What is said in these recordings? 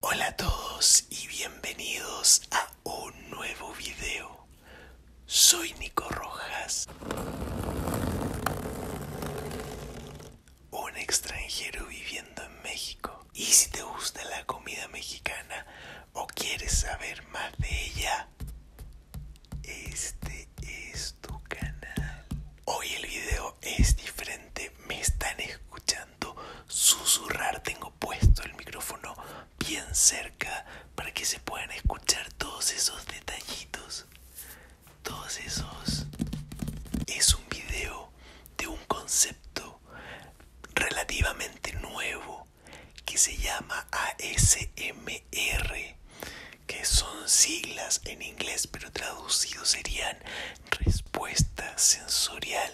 Hola a todos y bienvenidos a un nuevo video. Soy Nico Rojas, un extranjero viviendo en México. Y si te gusta la comida mexicana o quieres saber más de ella, este es tu canal. Hoy el video es diferente me están escuchando susurrar, tengo puesto el micrófono bien cerca para que se puedan escuchar todos esos detallitos. Todos esos... Es un video de un concepto relativamente nuevo que se llama ASMR, que son siglas en inglés, pero traducido serían respuesta sensorial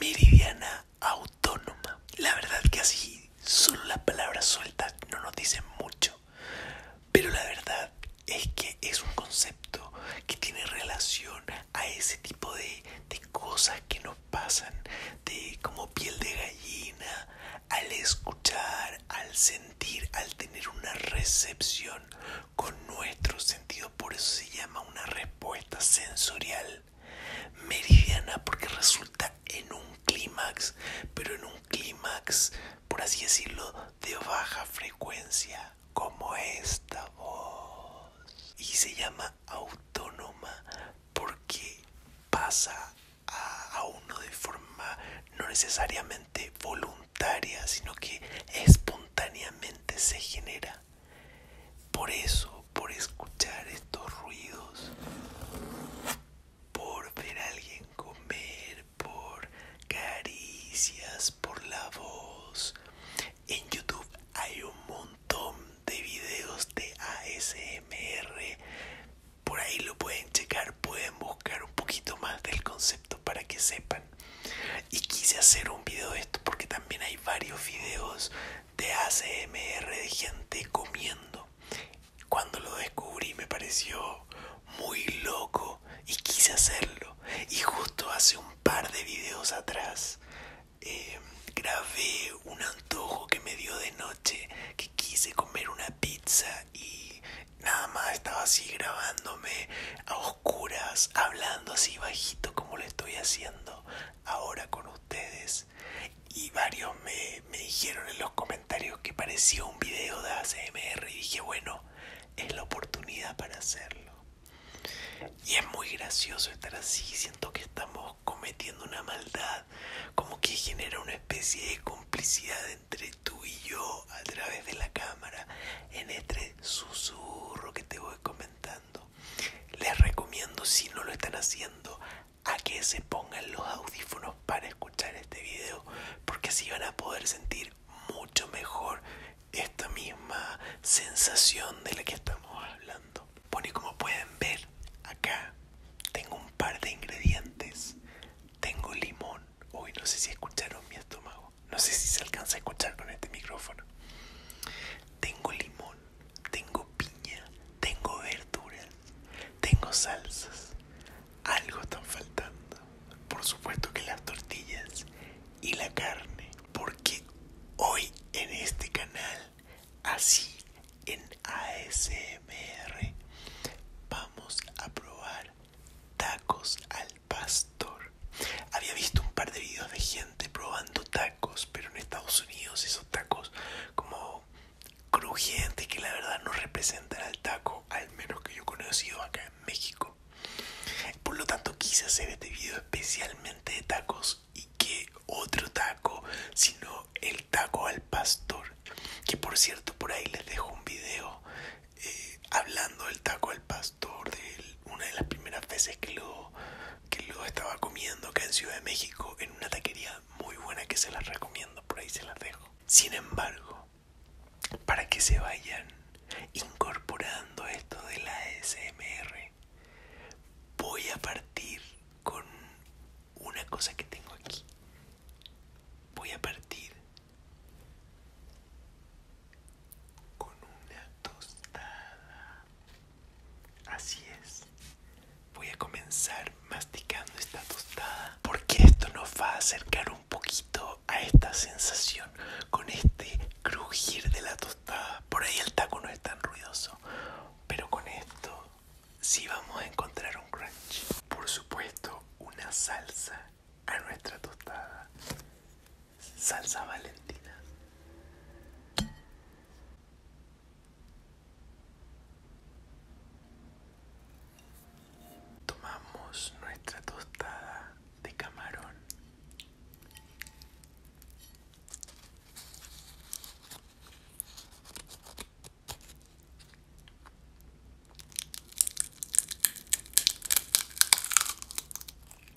meridiana autónoma. La verdad que así solo las palabras sueltas no nos dicen mucho, pero la verdad es que es un concepto que tiene relación a ese tipo de, de cosas que nos pasan, de como piel de gallina, al escuchar, al sentir, al tener una recepción con nuestro sentido, por eso se llama una respuesta sensorial meridiana, porque resulta en un clímax, pero en un clímax, por así decirlo, de baja frecuencia, como esta voz. Y se llama autónoma porque pasa a uno de forma no necesariamente voluntaria, sino que espontáneamente se genera. Por eso, por escuchar estos ruidos, por ver a alguien comer, por caricias, por la voz. En YouTube hay un montón de videos de ASMR. Por ahí lo pueden checar, pueden buscar un poquito más del concepto para que sepan. Y quise hacer un video de esto porque también hay varios videos de ACMR de gente comiendo. Cuando lo descubrí me pareció muy loco y quise hacerlo. Y justo hace un par de videos atrás em, grabé un antojo que me dio de noche que quise comer una pizza y nada más estaba así grabándome a hablando así bajito como lo estoy haciendo ahora con ustedes. Y varios me, me dijeron en los comentarios que parecía un video de ACMR y dije, bueno, es la oportunidad para hacerlo. Y es muy gracioso estar así, siento que estamos cometiendo una maldad, como que genera una especie de complicidad entre tú y yo a través de la cámara, en este susurro que te voy comentando. Les recomiendo, si no lo están haciendo, a que se pongan los audífonos para escuchar este video, porque así van a poder sentir mucho mejor esta misma sensación de la que estamos hablando. Bueno, y como pueden ver, acá tengo un par de ingredientes. Tengo limón. Uy, no sé si escucharon mi estómago no sé si se alcanza a escuchar con este micrófono. Tengo limón, tengo piña, tengo verduras, tengo salsas. Algo está faltando. Por supuesto que las tortillas y la carne. Porque hoy en este canal, así en ASMR, vamos a probar tacos al pastor. Había visto un par de videos de gente probando tacos, pero en Estados Unidos esos tacos como crujientes que la verdad no representan al taco, al menos que yo he conocido acá en México. Por lo tanto quise hacer este video especialmente de tacos y que otro taco, sino el taco al pastor, que por cierto por ahí les dejo un video eh, hablando del taco al pastor de una de las primeras veces que que lo estaba comiendo acá en Ciudad de México en una taquería muy buena que se las recomiendo, por ahí se las dejo. Sin embargo, para que se vayan incorporando esto de la SMR voy a partir con una cosa que tengo aquí. Voy a partir con una tostada. Así es. Voy a comenzar masticando esta tostada porque esto nos va a acercar un poquito a esta sensación con este crujir de la tostada. Por ahí el taco no es tan ruidoso, pero con esto sí vamos a encontrar un crunch. Por supuesto, una salsa a nuestra tostada salsa valentina. Tomamos nuestra tostada de camarón.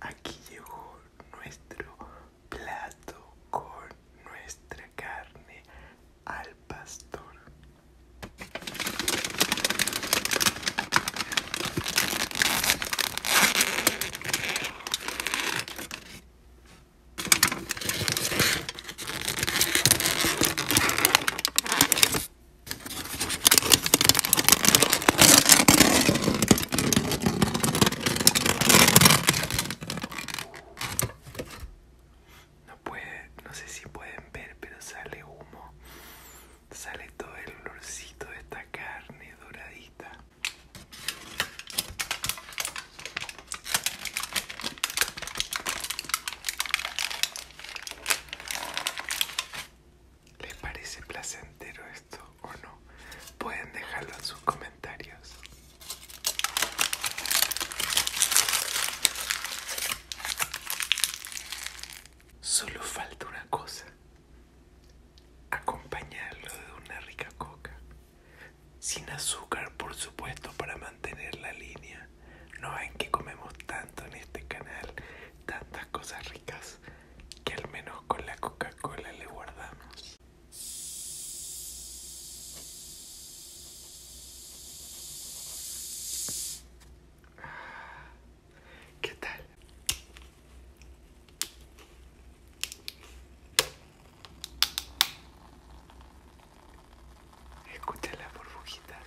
Aquí llegó nuestro plato con nuestra carne al pastor. No puede, no sé si pueden ver, pero sale humo. Sale todo el olorcito de esta carne doradita. ¿Les parece placentero esto o no? Pueden dejarlo en sus comentarios. Solo falta una cosa, Acompañarlo de una rica coca. Sin azúcar, por supuesto, para mantener la línea. No ven que comemos tanto en este canal, tantas cosas ricas, que al menos con la Coca-Cola le guardamos. Ah, ¿Qué tal? Escucha las burbujitas.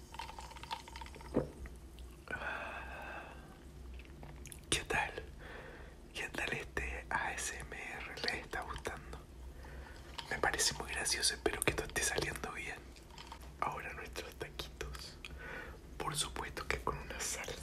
¿Qué tal? ¿Qué tal este ASMR? ¿Les está gustando? Me parece muy gracioso, espero que todo esté saliendo bien. Ahora nuestros taquitos. Por supuesto que con unas salsas.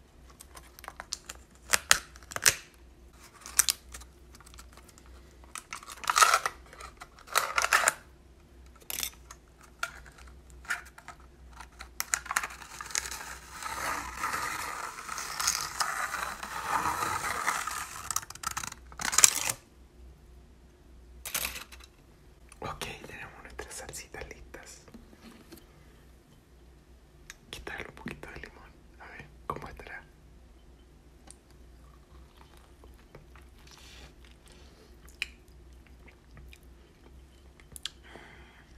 Ok, tenemos nuestras salsitas listas quitarle un poquito de limón, a ver cómo estará.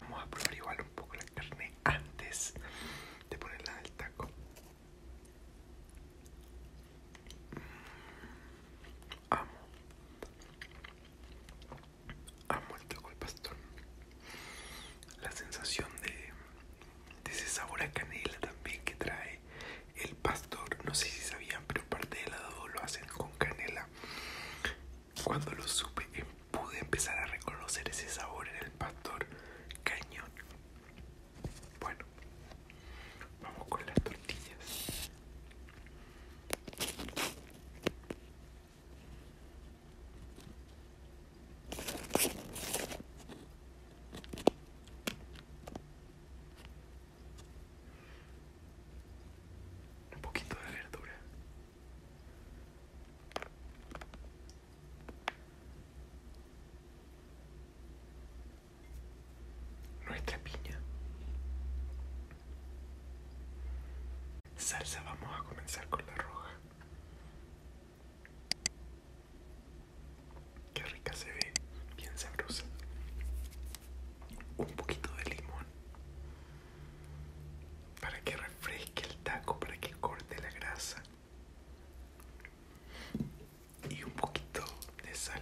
Vamos a probar igual un poco la carne antes de ponerla en el taco. Mm, amo, ha muerto con el pastor. La sensación de, de ese sabor a canela también que trae el pastor, no sé si sabían, pero parte del helado lo hacen con canela. Cuando lo supe, eh, pude empezar a reconocer ese sabor en el pastor cañón. Bueno, vamos con las tortillas. Un poquito de verdura. Nuestra piña. Salsa, vamos a comenzar con la roja. Qué rica se ve, bien sabrosa. Un poquito de limón para que refresque el taco, para que corte la grasa. Y un poquito de sal.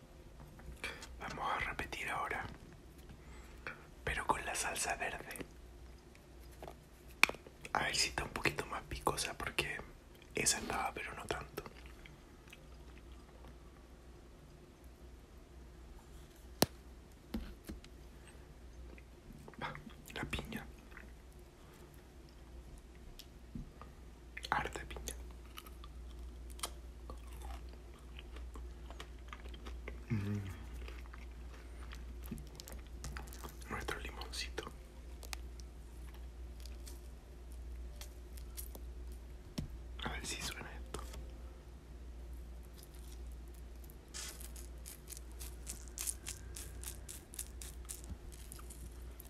Vamos a repetir ahora, pero con la salsa verde. A ver si está un poquito más picosa porque esa andaba, pero no tanto. La piña. Arte piña. Mm. Nuestro limoncito. A ver si suena esto.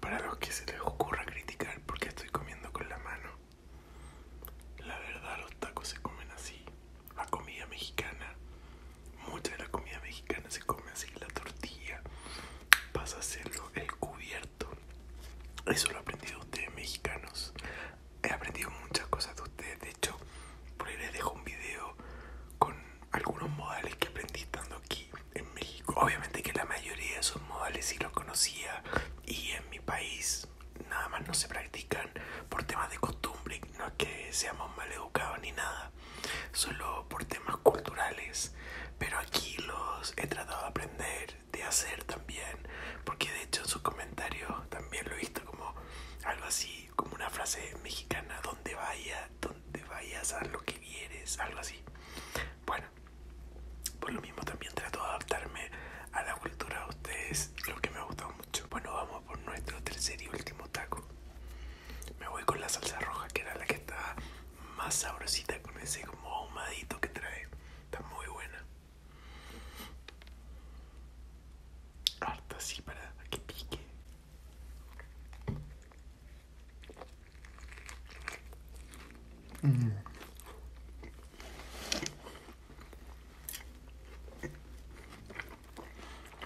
Para los que se les ocurra criticar porque estoy comiendo con la mano, la verdad los tacos se comen así la comida mexicana. Mucha de la comida mexicana se come así, la tortilla. pasa a hacerlo el cubierto. Eso lo he aprendido de ustedes mexicanos. He aprendido muchas cosas de ustedes. De hecho, por ahí les dejo un video con algunos modales que aprendí estando aquí en México. Obviamente que la mayoría de esos modales sí los conocía y en mi país nada más no se practican por temas de costumbre, no es que seamos mal educados ni nada, solo por temas culturales. Pero aquí los he tratado de aprender, de hacer también, porque de hecho en sus comentarios también lo he visto como algo así, como una frase mexicana, donde vaya, donde vayas, a lo que quieres, algo así. Bueno, por lo mismo también trato de adaptarme a la cultura de ustedes, lo que me ha gustado bueno, vamos por nuestro tercer y último taco. Me voy con la salsa roja, que era la que estaba más sabrosita con ese como ahumadito que trae. Está muy buena. Harta así para que pique. Mm.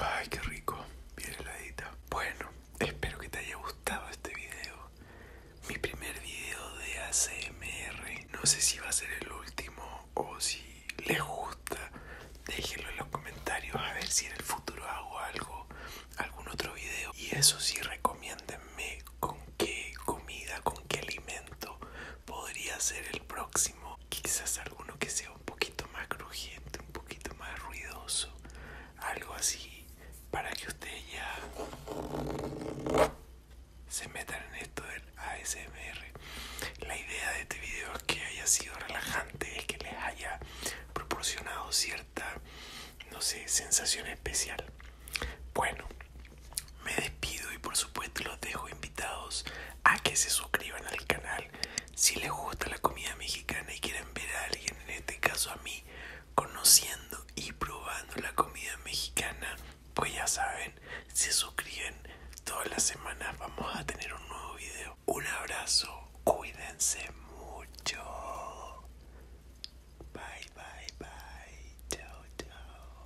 Ay, qué rico, bien heladita. Bueno, espero que te haya gustado este video. Mi primer video de ACMR. No sé si va a ser el último o si les gusta. Déjenlo en los comentarios a ver si en el futuro hago algo, algún otro video. Y eso sí, recomiéndenme con qué comida, con qué alimento podría ser el próximo. Quizás alguno que sea un poquito más crujiente, un poquito más ruidoso. Algo así para que ustedes ya se metan en esto del ASMR. La idea de este video es que haya sido relajante, es que les haya proporcionado cierta, no sé, sensación especial. Bueno, me despido y por supuesto los dejo invitados a que se suscriban al canal si les gusta la comida mexicana y quieren ver a alguien, en este caso a mí, conociendo y probando la comida mexicana, pues ya saben, se suscriben todas las semanas, vamos a tener un nuevo video. Un abrazo, cuídense mucho. Bye, bye, bye. Chao, chao.